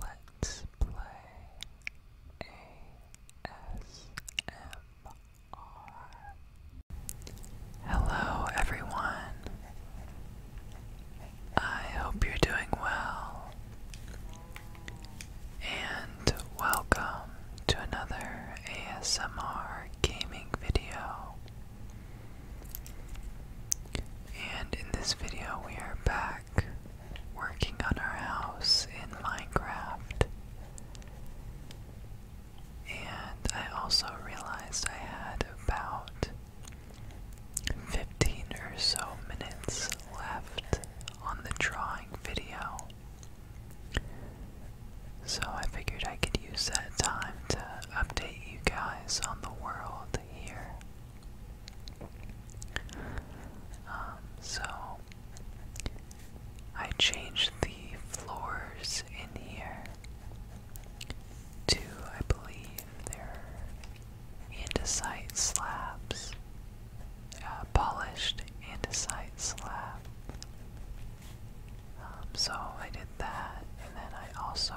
Let's play ASMR. Hello, everyone. I hope you're doing well. And welcome to another ASMR gaming video. And in this video, we are back working on our house in Minecraft. And I also realized I had about 15 or so minutes left on the drawing video. So I figured I could use that time to update you guys on the world here. Um, so I changed the floors in here to, I believe, they're andesite slabs, uh, polished andesite slab. Um, so I did that, and then I also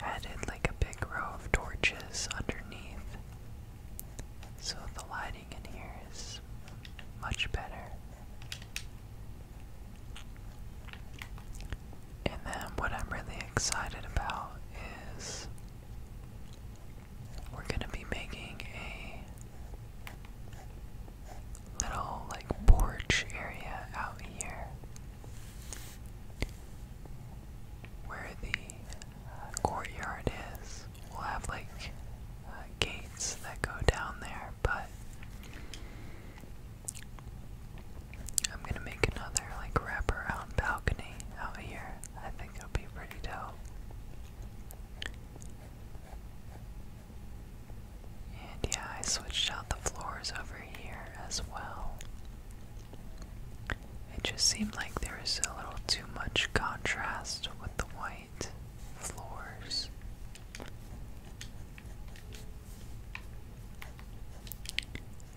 added like a big row of torches underneath. So the lighting in here is much better. And then what I'm really excited about is we're going to be making a little like porch area out here where the courtyard is. We'll have like uh, gates that go down there, but I'm gonna make another like wraparound balcony over here. I think it'll be pretty dope. And yeah, I switched out the floors over here as well. It just seemed like there was a little too much contrast with the white floors.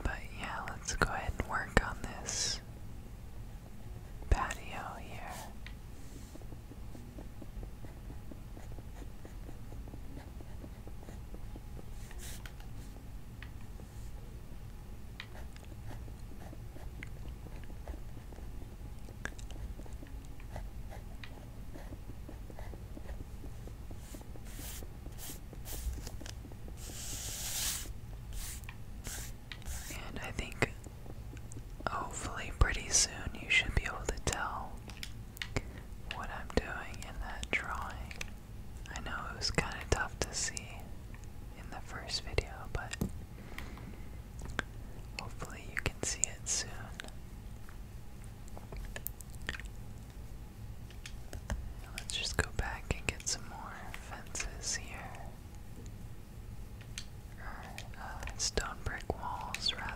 But yeah, let's go ahead and work on this patio here. And I think hopefully pretty soon you should be able to tell what I'm doing in that drawing. I know it was kind of tough to see in the first video, but hopefully you can see it soon. Let's just go back and get some more fences here. Or, uh, stone brick walls, rather.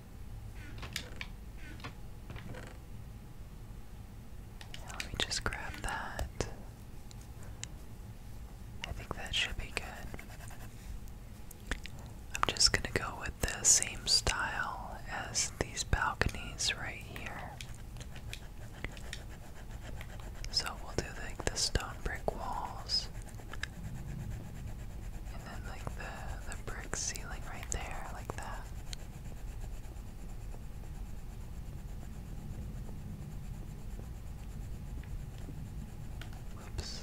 Let me just grab that. I think that should be good. I'm just gonna go with the same style as these balconies right here. So we'll do like the stone brick walls and then like the the brick ceiling right there, like that. Whoops.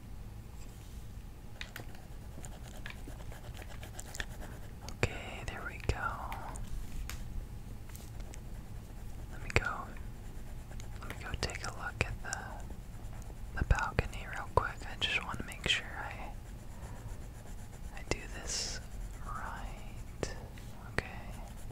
Okay, there we go. Let me go. Let me go take a look at the the balcony real quick. I just want to make sure I I do this right. Okay.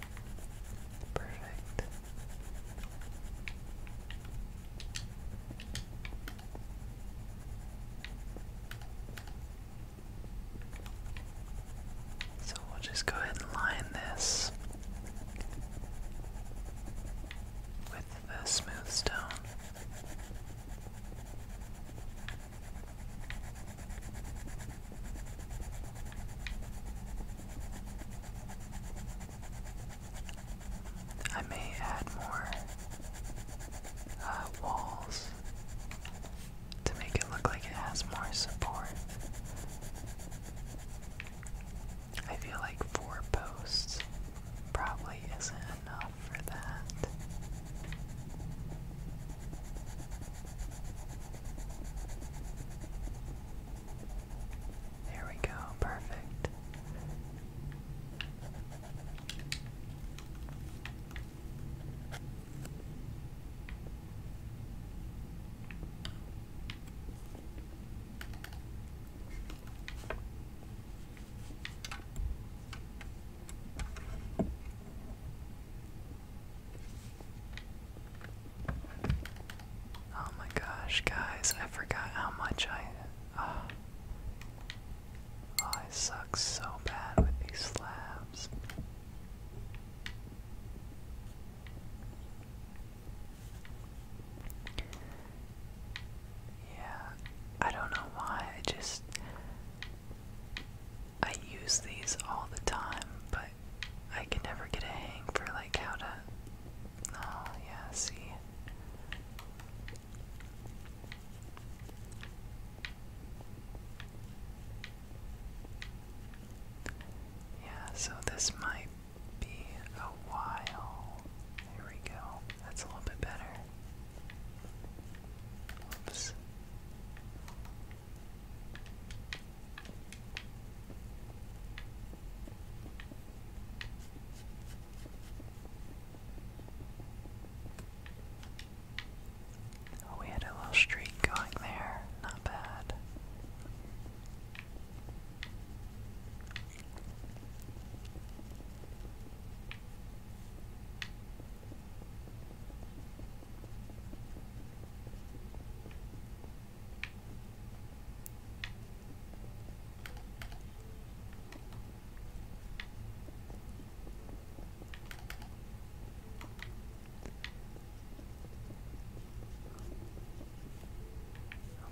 So we'll just go ahead and line this with the smooth stone. I may add more uh, walls to make it look like it has more support. I feel like four posts probably isn't enough for that. There we go, perfect. Oh my gosh, guys, I forgot how much I. Uh, oh, I suck so bad with these slabs. Yeah, I don't know why, I just. I use these all the time, but I can never get a hang for like how to. Oh yeah, see. Yeah, so this might be a while. There we go. That's a little bit better. Oops. Oh, we had a little streak going there. Not bad.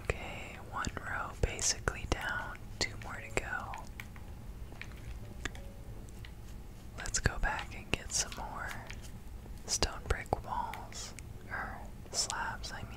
Okay, one row basically down, two more to go. Let's go back and get some more stone brick walls, or slabs, I mean.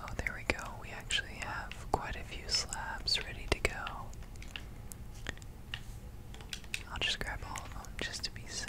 Oh, there we go. We actually have quite a few slabs ready to go. I'll just grab all of them just to be safe.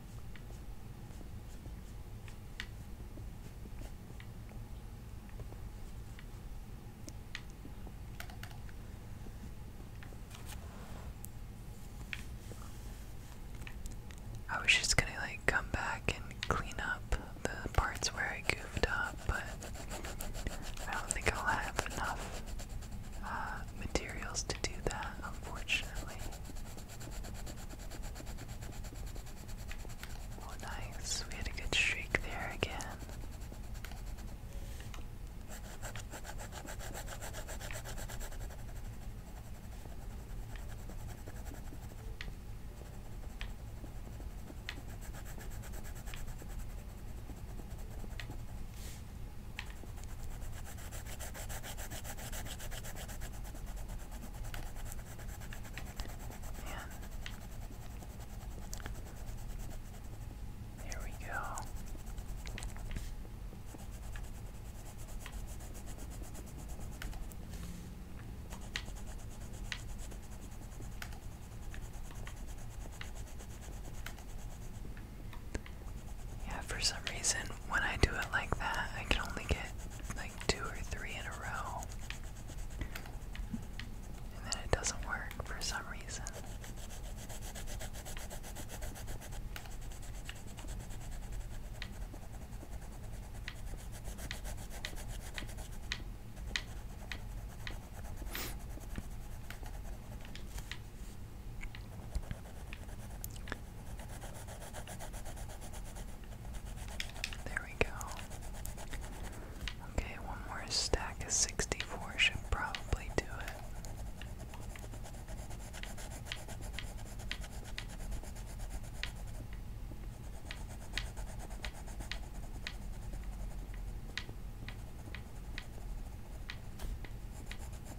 I was just gonna like come back and clean up the parts where I goofed up, but I don't think I'll have enough uh, materials to do that, unfortunately. Oh, nice. We had a good streak there again. Yeah. we go. Yeah, for some reason when I do it like that, I can only get like two or three in a row. And then it doesn't work for some reason. There we go. Okay, one more stack of 64 should probably do it.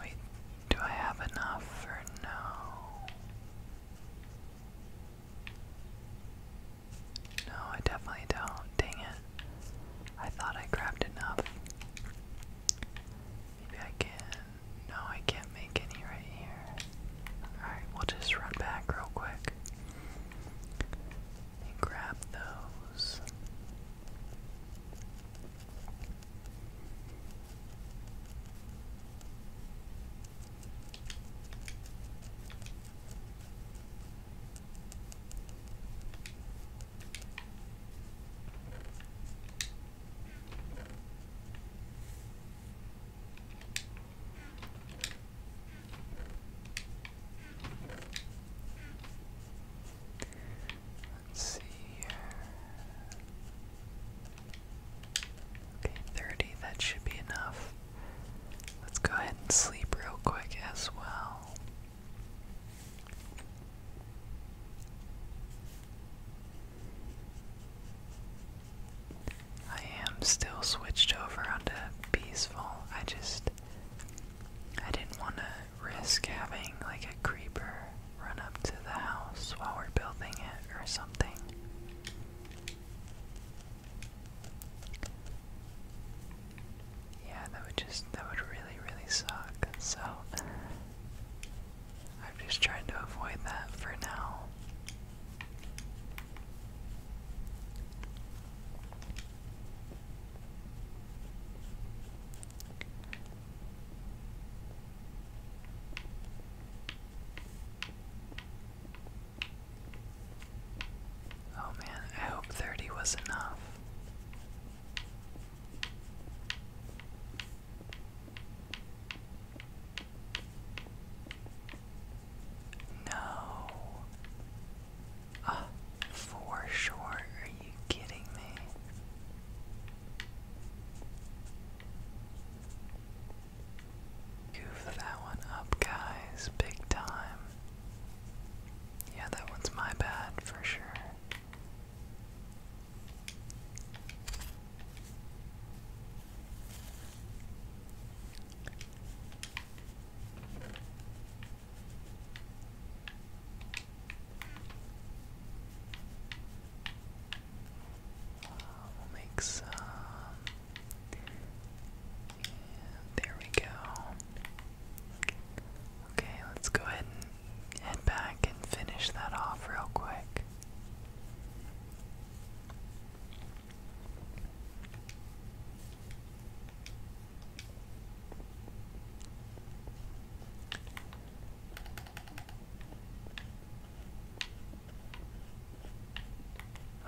Wait, do I have enough or no? No, I definitely don't. Dang it. I thought I grabbed enough. Maybe I can. No, I can't make any right here. Alright, we'll just run back real quick and grab those. Let's see Okay, 30, that should be enough. Let's go ahead and sleep real quick as well. I am still switched over onto peaceful. I just I didn't want to risk having like a creeper run up to the house while we're building it or something. Yeah, that would just that would really really suck. So i am just trying to avoid that for now. Oh man, I hope 30 was enough. No. Uh, for sure. Are you kidding me? Goof that one up, guys. Big time yeah, that one's my bad for sure. we'll make some. there we go. Okay, let's go ahead and head back and finish that off real quick.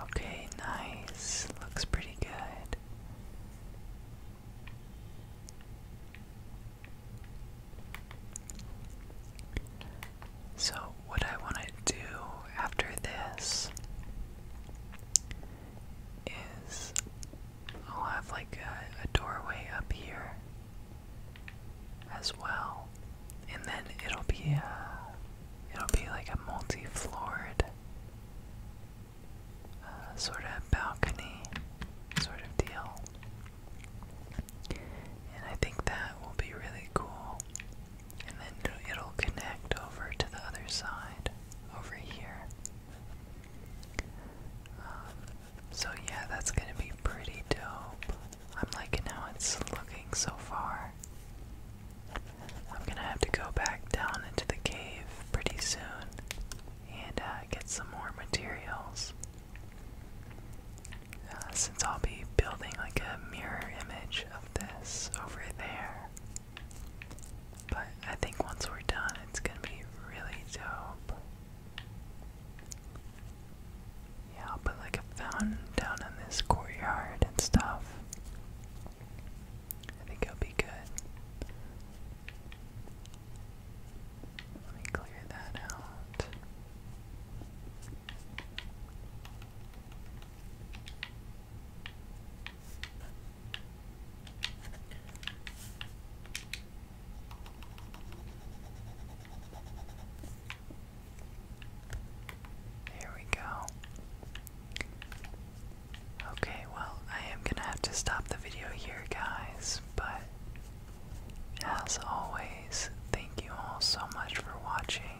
Okay, nice. Looks pretty good. So, what I want to do after this is I'll have like a, doorway up here as well, and then it'll be a, uh, it'll be like a multi-floored uh, sort of balcony sort of deal. And I think that will be really cool. And then it'll connect over to the other side over here. Um, so, yeah, that's gonna be pretty dope. I'm liking how it's looking so far. I'm gonna have to go back down into the cave pretty soon and uh, get some more materials. Uh, since I'll be building like a mirror image of this over there. But I think once we're done, it's gonna be really dope. Yeah, I'll put like a fountain down in this courtyard and stuff. I think it will be good. Let me clear that out. There we go. Okay, well, I am gonna have to stop the video here, guys, but as always, thank you all so much for watching.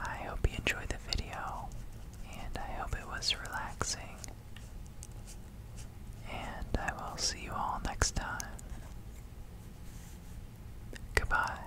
I hope you enjoyed the video, and I hope it was relaxing. And I will see you all next time. Goodbye.